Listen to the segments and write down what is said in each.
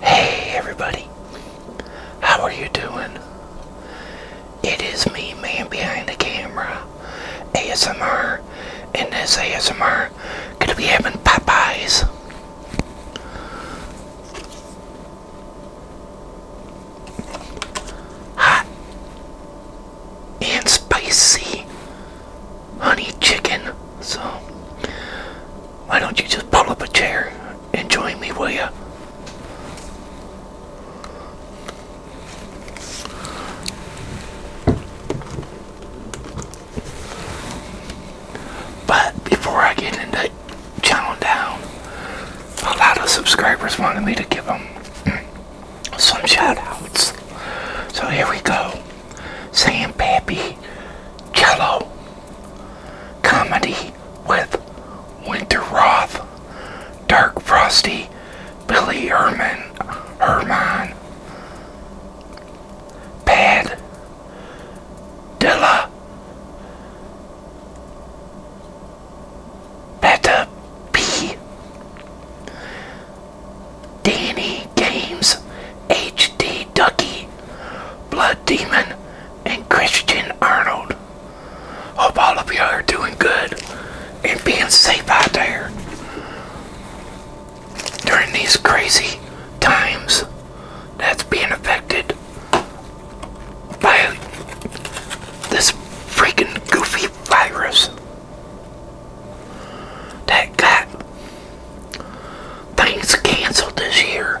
Hey everybody, how are you doing? It is me, man behind the camera, ASMR, and this ASMR gonna be having Popeyes. Hot and spicy honey chicken. So, why don't you just pull up a chair and join me, will you? But before I get into chowing down, a lot of subscribers wanted me to give them some shoutouts. So here we go. Sam Pappy Cello, comedy with Winter Roth, Dark Frosty, Billy Herman, Herman, Pad Dilla, Beta P, Danny Games, HD Ducky, Blood Demon, and Christian Arnold. Hope all of you are doing good and being safe out there during these crazy times that's being affected by this freaking goofy virus that got things canceled this year.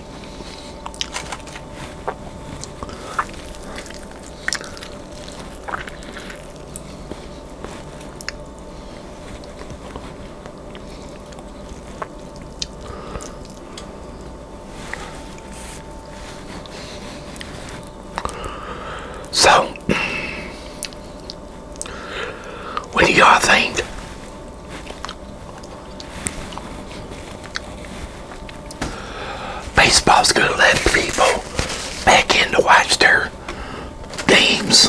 So, what do y'all think? Baseball's going to let people back in to watch their games.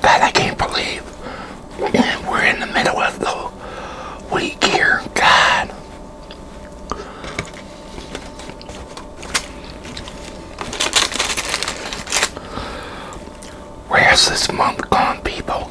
God, I can't believe we're in the middle of the week here. God. Where's this month gone, people?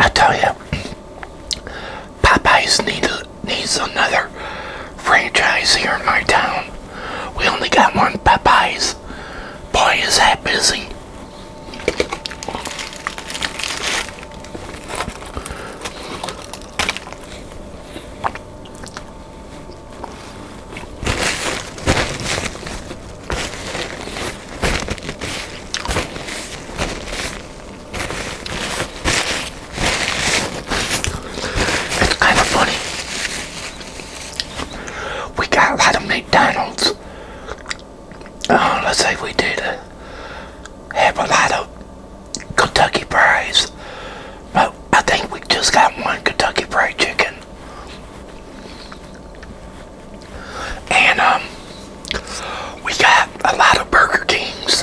I tell you, Popeyes need, needs another franchise here in my town. We only got one Popeyes. Boy, is that busy. It's kind of funny. We got a lot of meat. McDonald's, oh, let's say we did have a lot of Kentucky fries, but I think we just got one Kentucky Fried Chicken. And um, we got a lot of Burger Kings.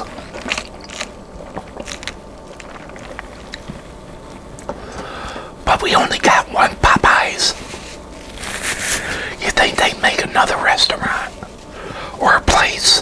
But we only got one Popeyes. You think they'd make another restaurant or a place?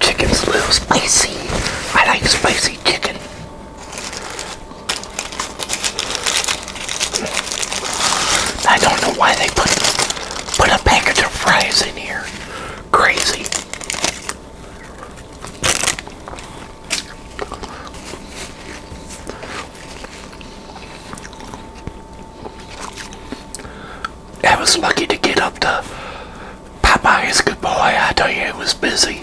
Chicken's a little spicy. I like spicy chicken. I don't know why they put put a package of fries in here. Crazy. I was lucky to get up to Popeye's. Good boy, I tell you, it was busy.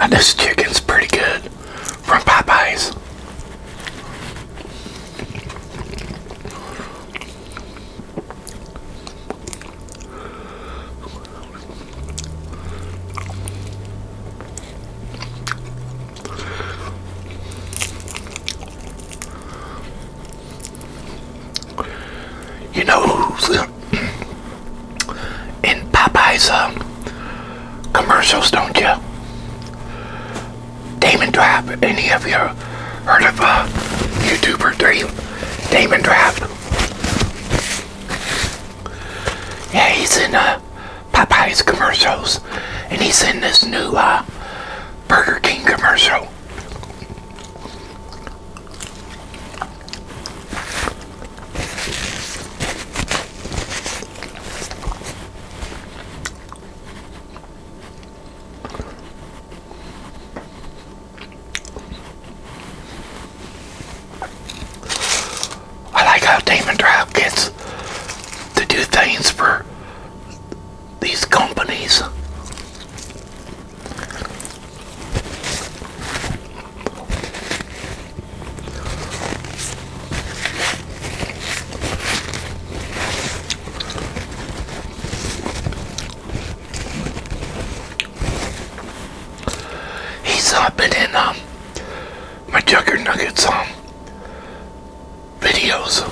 And this chicken's pretty good from Popeyes. You know who's uh, in Popeye's uh, commercials, don't you? Damon Drop. Any of you heard of a uh, YouTuber Damon Drop? Yeah, he's in uh, Popeye's commercials, and he's in this new uh, Burger King commercial. I like how Demon Drive gets to do things for these companies. He's up and in um my Jugger Nuggets um videos.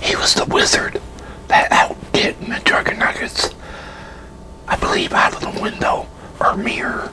He was the wizard that outdid McDuggan Nuggets, I believe, out of the window or mirror.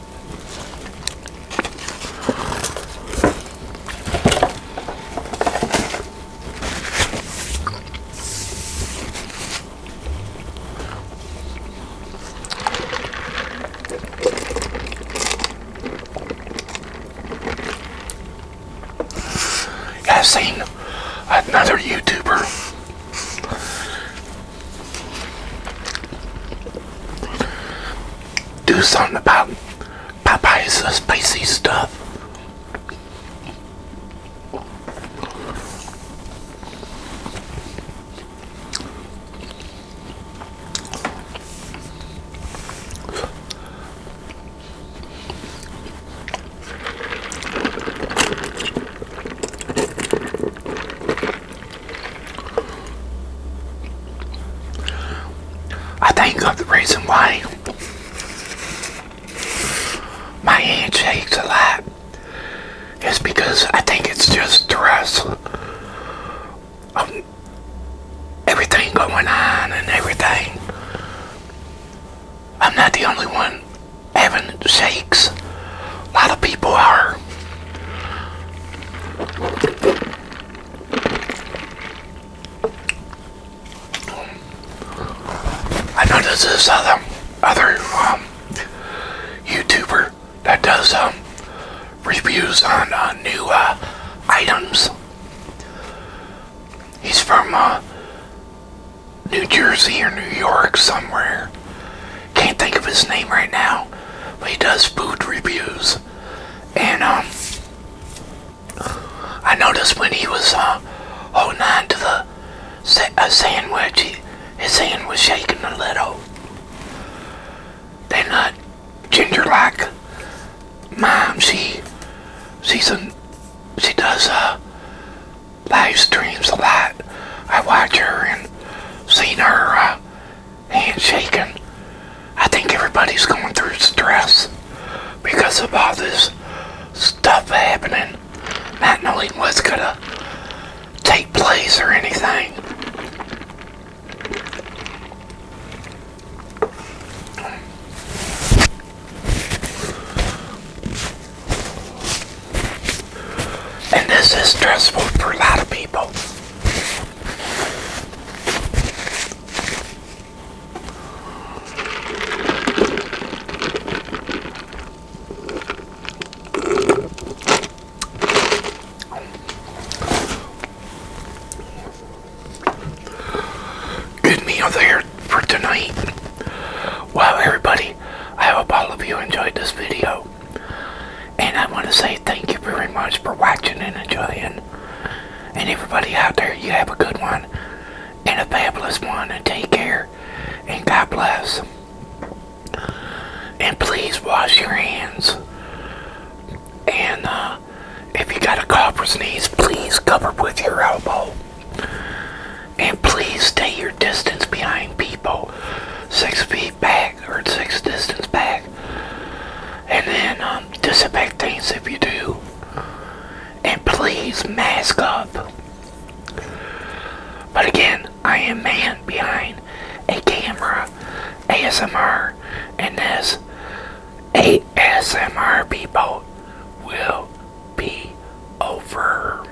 I've seen another YouTuber do something about Popeye's spicy stuff. I think of the reason why my hand shakes a lot is because I think it's just stress of everything going on and everything. I'm not the only one having shakes. A lot of people are. I know this other other um, YouTuber that does um, reviews on uh, new uh, items. He's from uh, New Jersey or New York somewhere. Can't think of his name right now, but he does food reviews. And um, I noticed when he was uh, holding on to the a sandwich, his hand was shaking a little. Then uh, Ginger like mom, she she's a, she does uh, live streams a lot. I watch her and seen her uh, handshaking. I think everybody's going through stress because of all this stuff happening, not knowing what's going to take place or anything. And this is stressful for a lot of people. Good meal there for tonight. Well, everybody, I hope all of you enjoyed this video. And I want to say thank you very much for watching and enjoying. And everybody out there, you have a good one and a fabulous one. And take care. And God bless. And please wash your hands. And uh, if you got a cough or sneeze, please cover with your elbow. And please stay your distance behind people. Six feet back or six distance back and then um, disinfect things if you do and please mask up but again I am man behind a camera ASMR and this ASMR people will be over